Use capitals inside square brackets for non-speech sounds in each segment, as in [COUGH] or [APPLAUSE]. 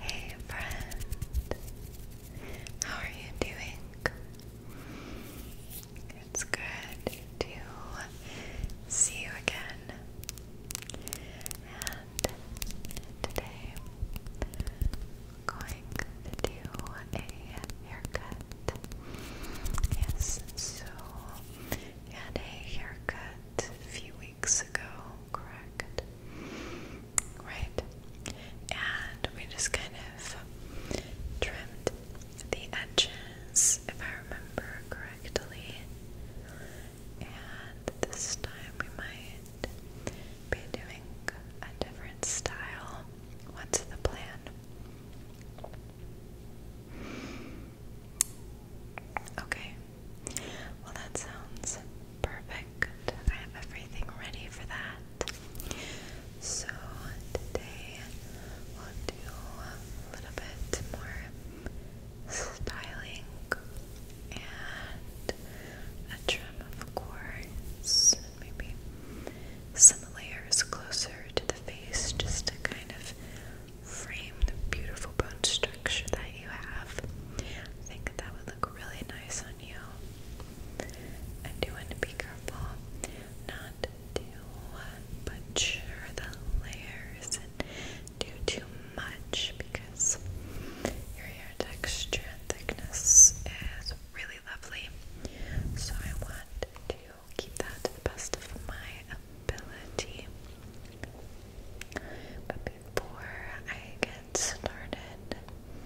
Hey friend, how are you doing? It's good to see you again. And today going to do a haircut. Yes, so had a haircut a few weeks weeks correct? Right. And we just kind of trimmed the edges, if I remember correctly. And this time we might be doing a different style. What's the plan? Okay, well, that sounds perfect. I have everything ready for that. So, today we'll do a little bit more styling and a trim, of course. Maybe some layers closer to the face just to kind of frame the beautiful bone structure that you have. think that would look really nice on you. I do want to be careful not to butcher the layers and do too much because your hair texture and thickness is really lovely. So I want to keep that to the best of my ability. But before I get started,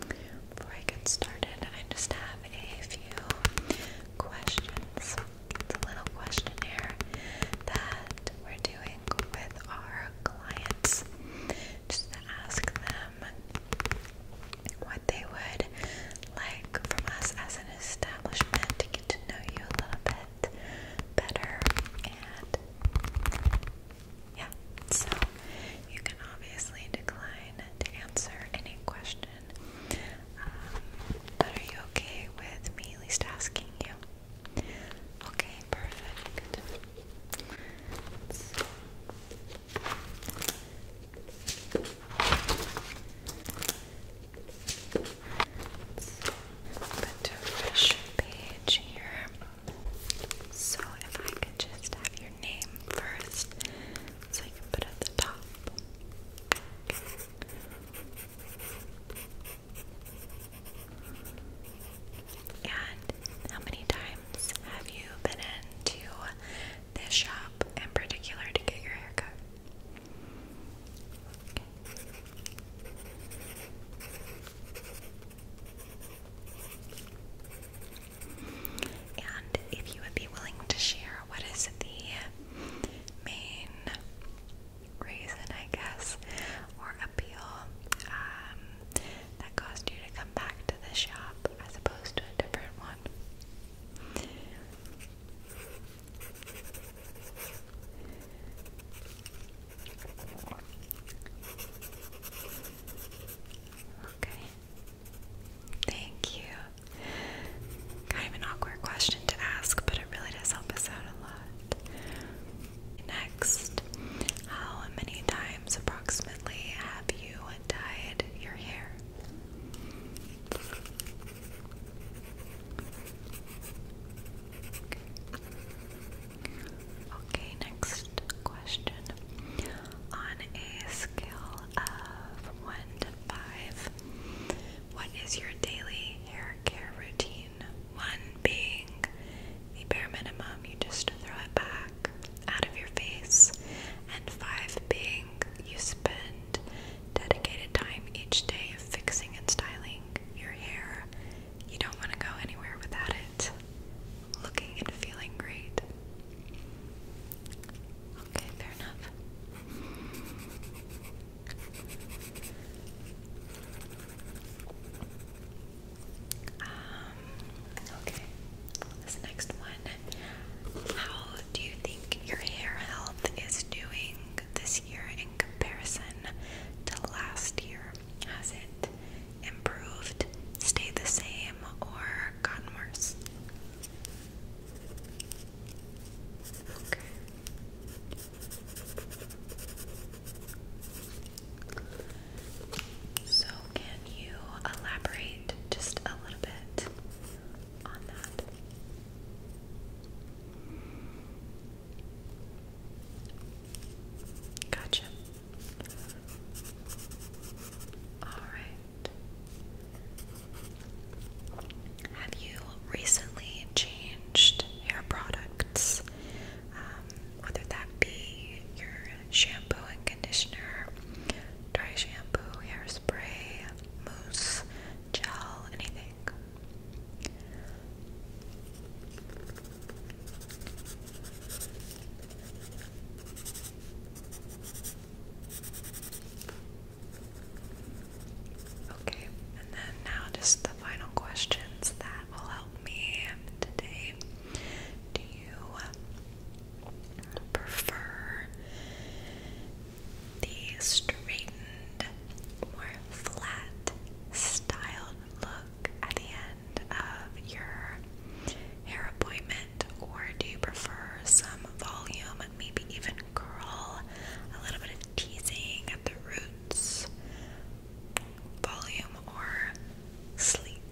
before I get started, I just have a few questions. It's a little questionnaire that we're doing with our clients just to ask them what they would like from us as an establishment to get to know you a little bit better and yeah, so you can obviously decline to answer any question. Um, but are you okay with me at least asking you? Okay, perfect. So. page here, so if I could just have your name first, so I can put at the top. And how many times have you been into this shop in particular to get your haircut? Okay. And if you would be willing to share what is the main reason, I guess, or appeal um, that caused you to come back to the shop as opposed to a different one. Okay. Thank you. Kind of an awkward question to ask, but it really does help us out a lot. Next, how many times approximately have you dyed your hair? Okay, next question. On a scale of 1 to 5, what is your daily hair care routine? 1 being the bare minimum, you just throw it back out of your face, and 5 being you spend dedicated time each day fixing and styling your hair. You don't want to go anywhere without it looking and feeling great. Okay, fair enough. Um, okay, this next one. How do you think your hair health is doing this year in comparison to last year? Has it improved, stayed the same, or gotten worse? So, can you elaborate just a little bit on that? Gotcha. Have you recently changed hair products? Um, whether that be your shampoo and conditioner, dry shampoo, hairspray, mousse, gel, anything. Okay, and then now just the final questions that will help me today. Do you prefer the straightened, more flat styled look at the of your hair appointment, or do you prefer some volume, maybe even curl, a little bit of teasing at the roots, volume, or sleek?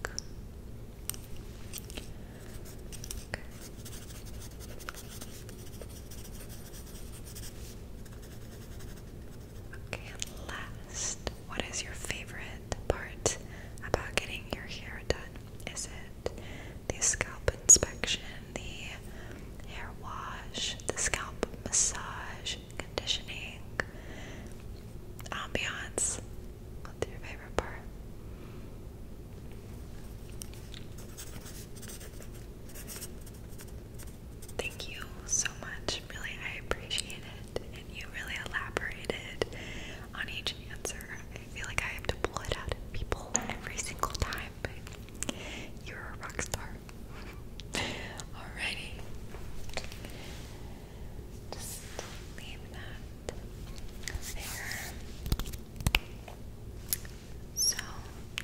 Okay, last, what is your favorite part about getting your hair done? Is it the scalp inspection, the hair wash, the scalp massage, conditioning, ambiance? What's your favorite part? Thank you so much Really, I appreciate it. And you really elaborated on each answer. I feel like I have to pull it out of people every single time. But you're a rock star. [LAUGHS] Alrighty. Just leave that there. So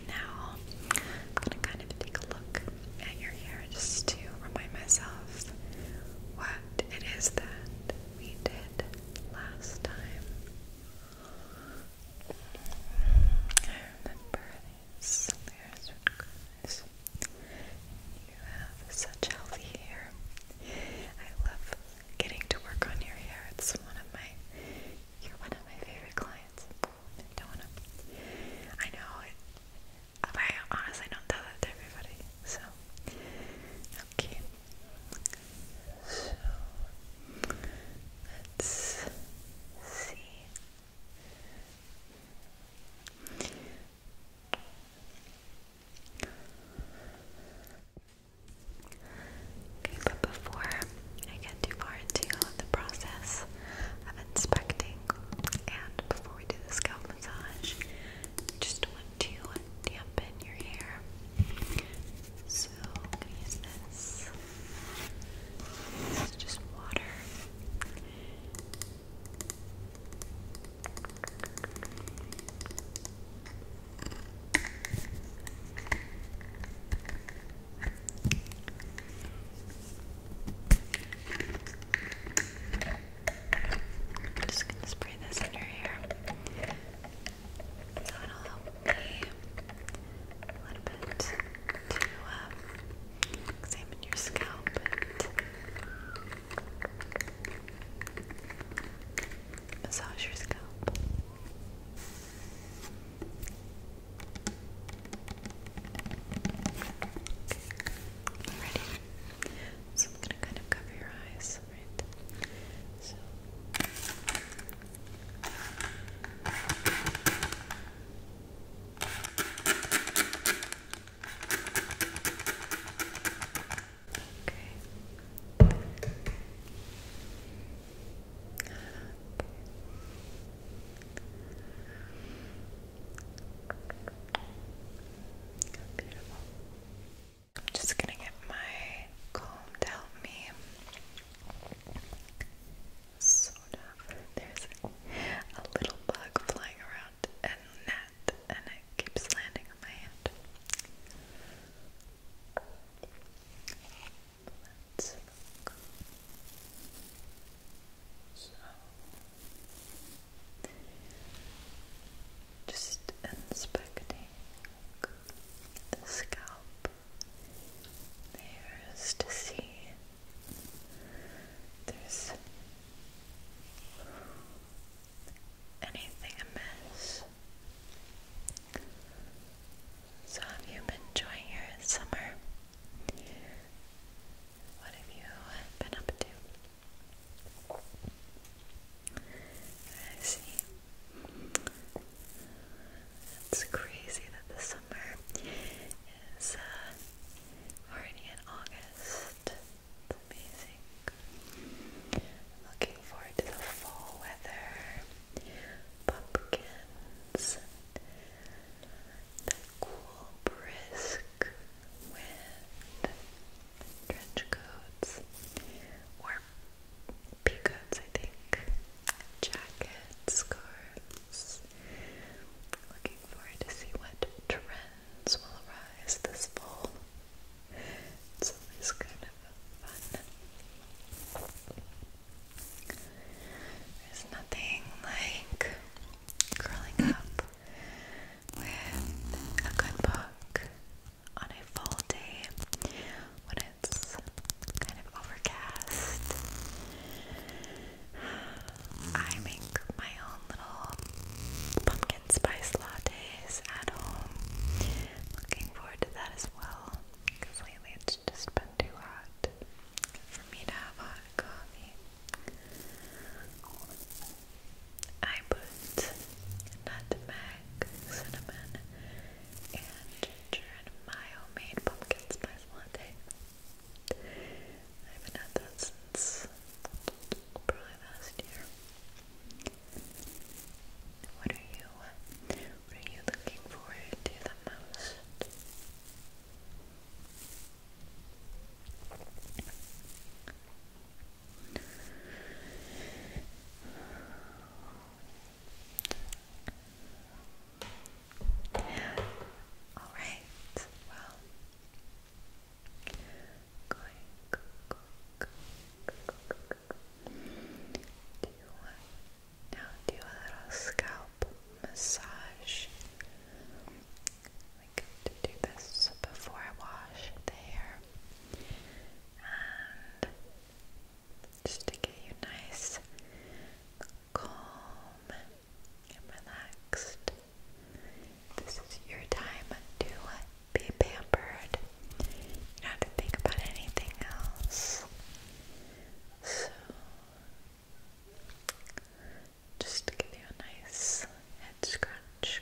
now I'm gonna kind of take a look at your hair just to remind myself what it is that we did last time. I remember these layers would You have such healthy hair. I love getting to work on your hair. It's one of my you're one of my favorite clients. Don't wanna, I know I honestly don't tell that to everybody, so okay. So let's see. Okay, but before I get too far into the process of inspecting, and before we do the scalp massage, just want to dampen your hair. So I'm gonna use this. This just water. I'm just gonna spray this in your hair. So it'll help me a little bit to um, examine your scalp. massage your scalp. Ready? So I'm gonna kind of cover your eyes, right? So Okay. I'm just gonna get my comb to help me. Sort There's a little bug flying around and net, and it keeps landing on my hand. Let's look. Just inspecting the scalp hairs to see if there's anything amiss. So, have you been enjoying your summer? What have you been up to? I see. It's crazy that the summer is uh, already in August. It's amazing. looking forward to the fall weather, pumpkins, the cool brisk wind trench coats or peacoats, I think, jackets, scarves. Looking forward to see what trends will arise this fall. It's always kind of fun. There's nothing like curling up with a good book on a fall day when it's kind of overcast. [SIGHS] I make my own little pumpkin spice lattes at home. Looking forward to that as well because lately it's just been too hot for me to have hot coffee. I put nutmeg, cinnamon, and ginger in my homemade pumpkin spice latte. I haven't had that since probably last year. What are you? What are you looking forward to the most? All right. Well, now do a little scalp massage. We like do this before I wash the hair just to get you nice, calm, and relaxed. This is your time to uh, be pampered. You don't have to think about anything else. So, just to give you a nice head scratch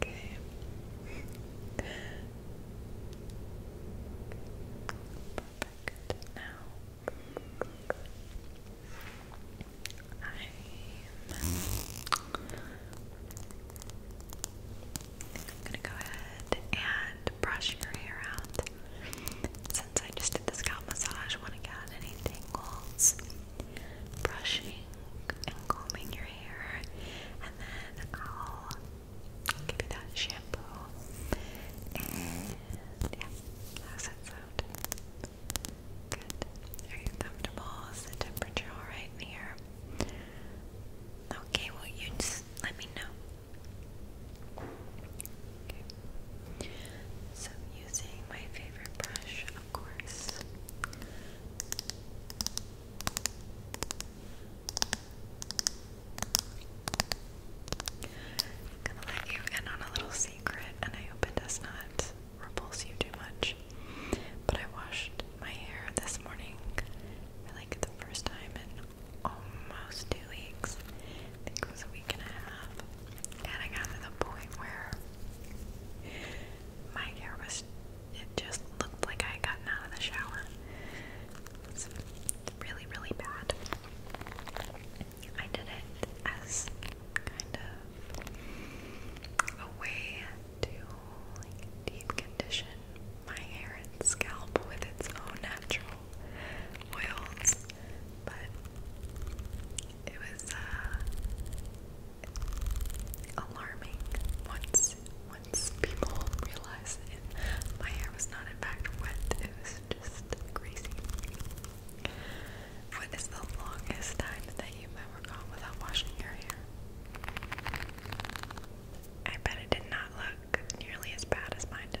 Perfect. Now I'm gonna go ahead and brush your hair out. Since I just did the scalp massage, I want to get any tingles? brushing and combing your hair, and then I'll give you that shampoo. yeah, how's that sound? Good. Are you comfortable? Is the temperature alright in here? Okay, well, you just let me know. Okay. So, using my favorite brush, of course, I'm gonna let you in on a little secret, and I hope it does not repulse you too much. But I washed my hair this morning like the first time in almost two weeks. I think it was a week and a half. And I got to the point where my hair was, it just looked like I had gotten out of the shower. It's really, really bad. I did it as kind of a way to deep condition my hair and scalp with its own natural oils, but it was uh, alarming once once people realized my hair was not in fact wet. It was just greasy. What is the longest time that you've ever gone without washing your hair? I bet it did not look nearly as bad as mine did.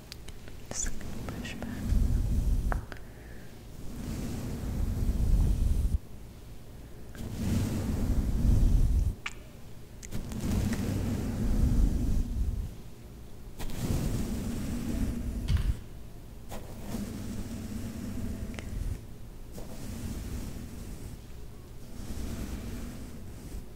Just gonna push back.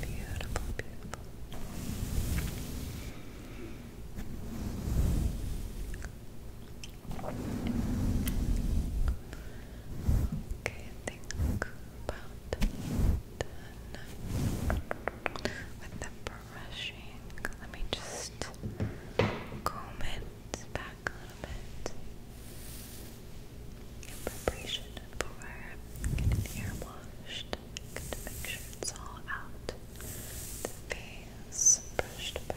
Beautiful, beautiful. Okay, think about with the brushing. Let me just comb it back a little bit in for getting hair washed. Good to make sure it's all out. face brushed back.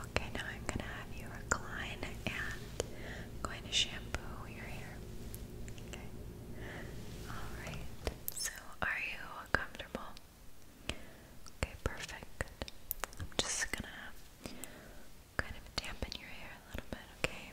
Okay, now I'm going to have you recline and going to shampoo your hair. Okay. Alright, so are you comfortable? Okay, perfect. I'm just gonna kind of dampen your hair a little bit, okay?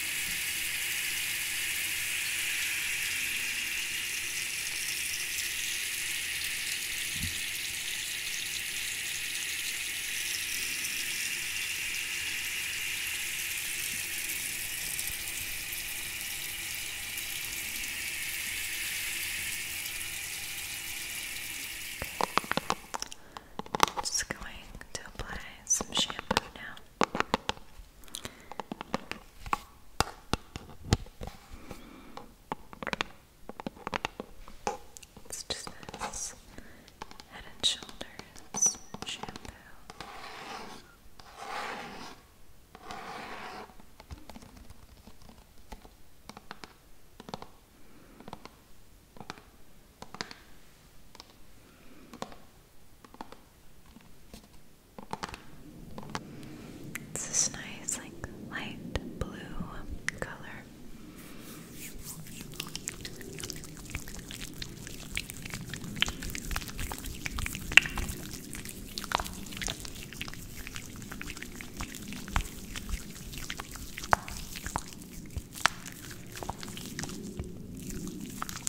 just going to apply some shampoo now. It's just this Head and Shoulders shampoo. It's this nice, like light blue color.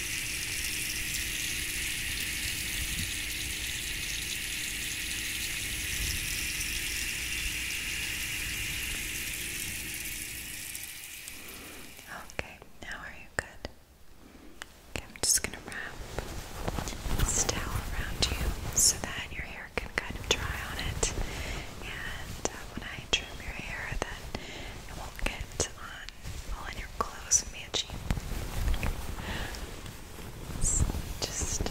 Okay, now are you good? Okay, I'm just gonna wrap this towel around you so that your hair can kind of dry on it. And uh, when I trim your hair, then it won't get on on all in your clothes matching. just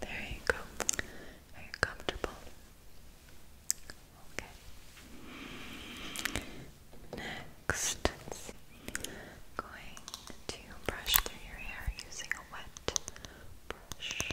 there you go. Are you comfortable? Okay. Next, going to brush through your hair using a wet brush.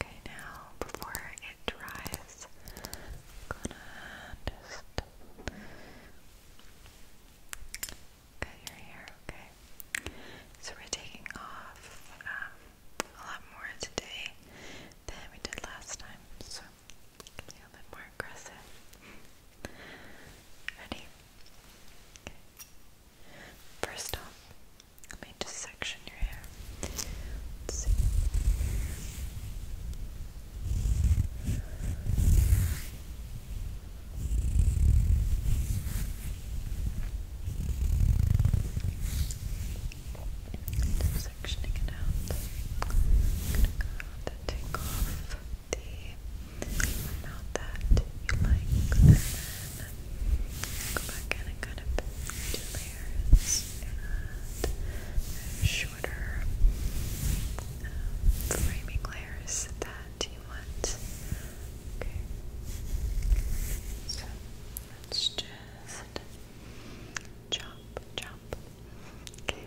Okay, now before it dries, I'm gonna just cut your hair, okay? So we're taking off um, a lot more today than we did last time, so it a little bit more aggressive. Ready? Okay. First off, let me just section your hair. Let's see. Just sectioning it out. take off the amount that you like, and go back in and kind of do layers shorter uh, framing layers that you want. Okay. So let's just Jump! chop. Okay.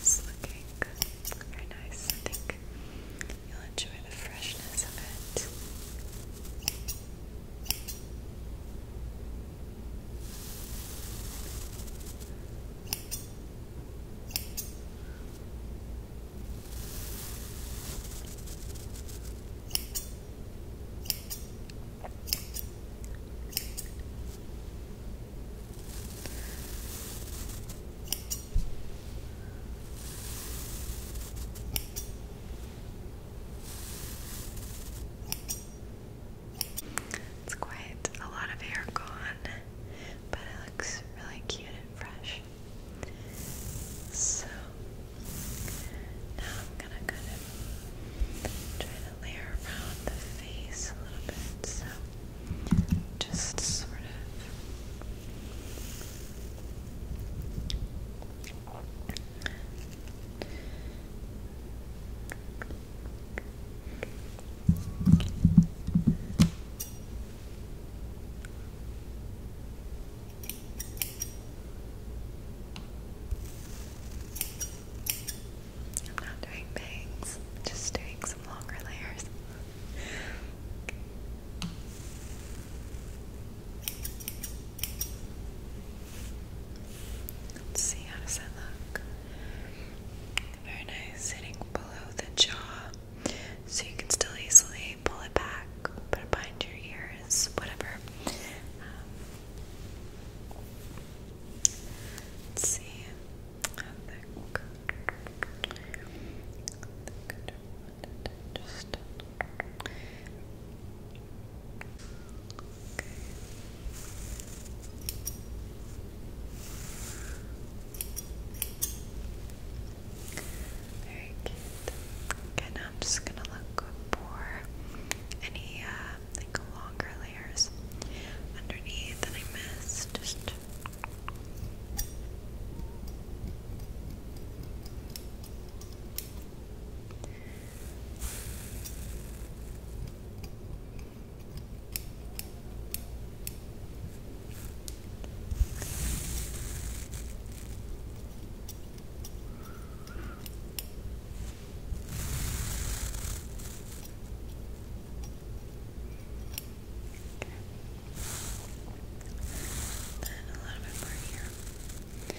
It's looking very nice. I think you'll enjoy the freshness of it. It's quite a lot of hair gone, but it looks really cute and fresh. So now I'm gonna kind of try to layer around the face a little bit. So just sort of. I'm not doing bangs, just doing some longer layers. Let's see, how does that look? Very nice, sitting below the jaw so you can still easily pull it back, put it behind your ears, whatever. Um, let's see. I think, very cute. Okay, now I'm just gonna look for any uh, like longer layers underneath that I missed. Just then a little bit more here. Okay.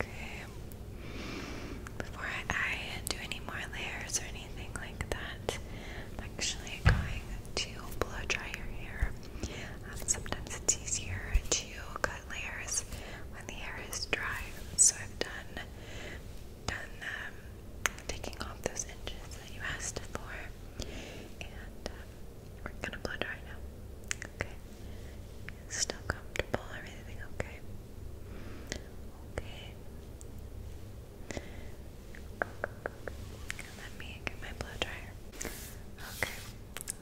Okay. Before I, do any more layers or anything like that, I'm actually going to blow dry your hair. Um, sometimes it's easier to cut layers when the hair is dry. So I've done done um, taking off those inches that you asked for, and uh, we're gonna blow dry now. Okay. Still comfortable, everything okay? Okay. Let me get my blow dryer. Okay,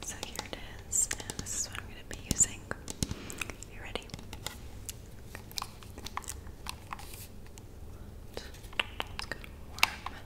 so here it is, and this is what I'm going to be using. You ready? It's good warm.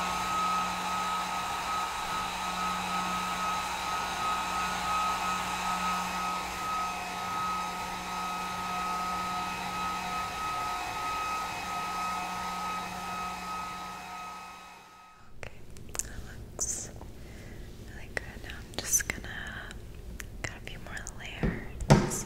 Okay, that looks really good. Now I'm just gonna got a few more layers.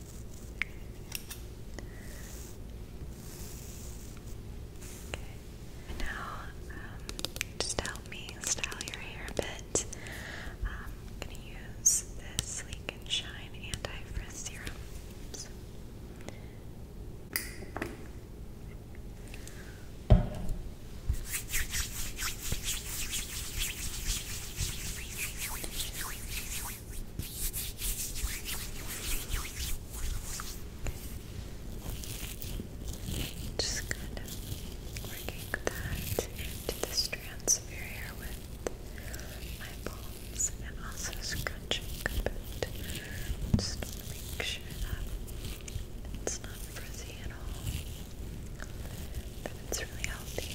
Now, um, just help me style your hair a bit. Um, I'm going to use this Sleek and Shine Anti Frizz Serum. Just kind of working that into the strands of your hair with my palms and also scrunching a bit. Just make sure that it's not frizzy at all. That it's really healthy.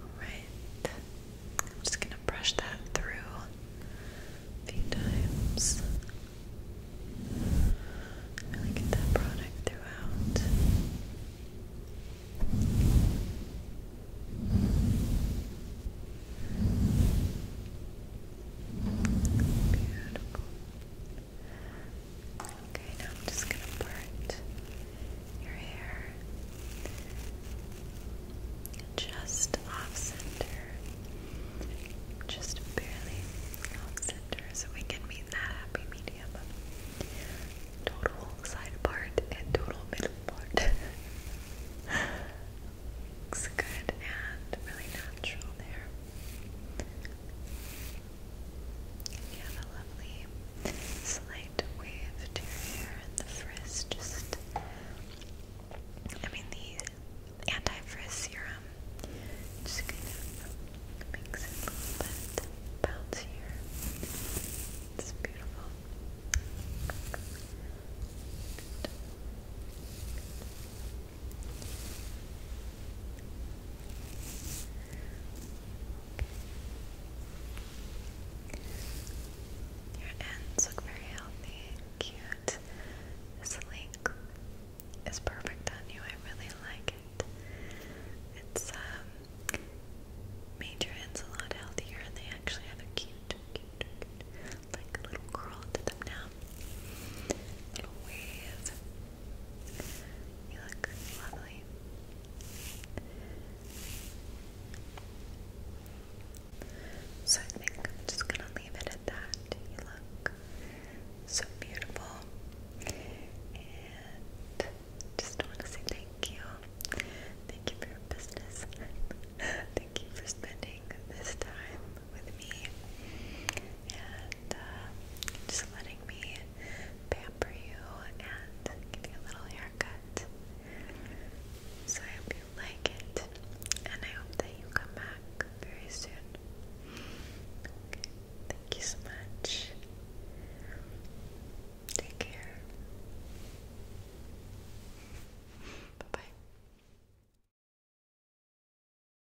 Alright, I'm just going to brush that through a few times. Really get that product throughout. Beautiful. Okay, now I'm just gonna part your hair just off center, just barely off center, so we can meet that happy medium total side part and total middle part. [LAUGHS] Looks good and really natural there. You have a lovely slight wave to your hair, and the frizz just. I mean, the anti frizz serum just kind of makes it a little bit bouncier. It's beautiful. Your ends look very healthy, cute. This link is perfect on you. I really like it. It's um made your ends a lot healthier, and they actually have a cute, cute, like little curl to them now. Little wave. You look lovely. So I think I'm just gonna leave it at that. You look so beautiful. And just wanna say thank you. Thank you for your business. [LAUGHS] thank you for spending this time with me and uh, just letting me pamper you and give you a little haircut. So I hope you like it and I hope that you come back very soon. thank you so much. Take care. Bye bye.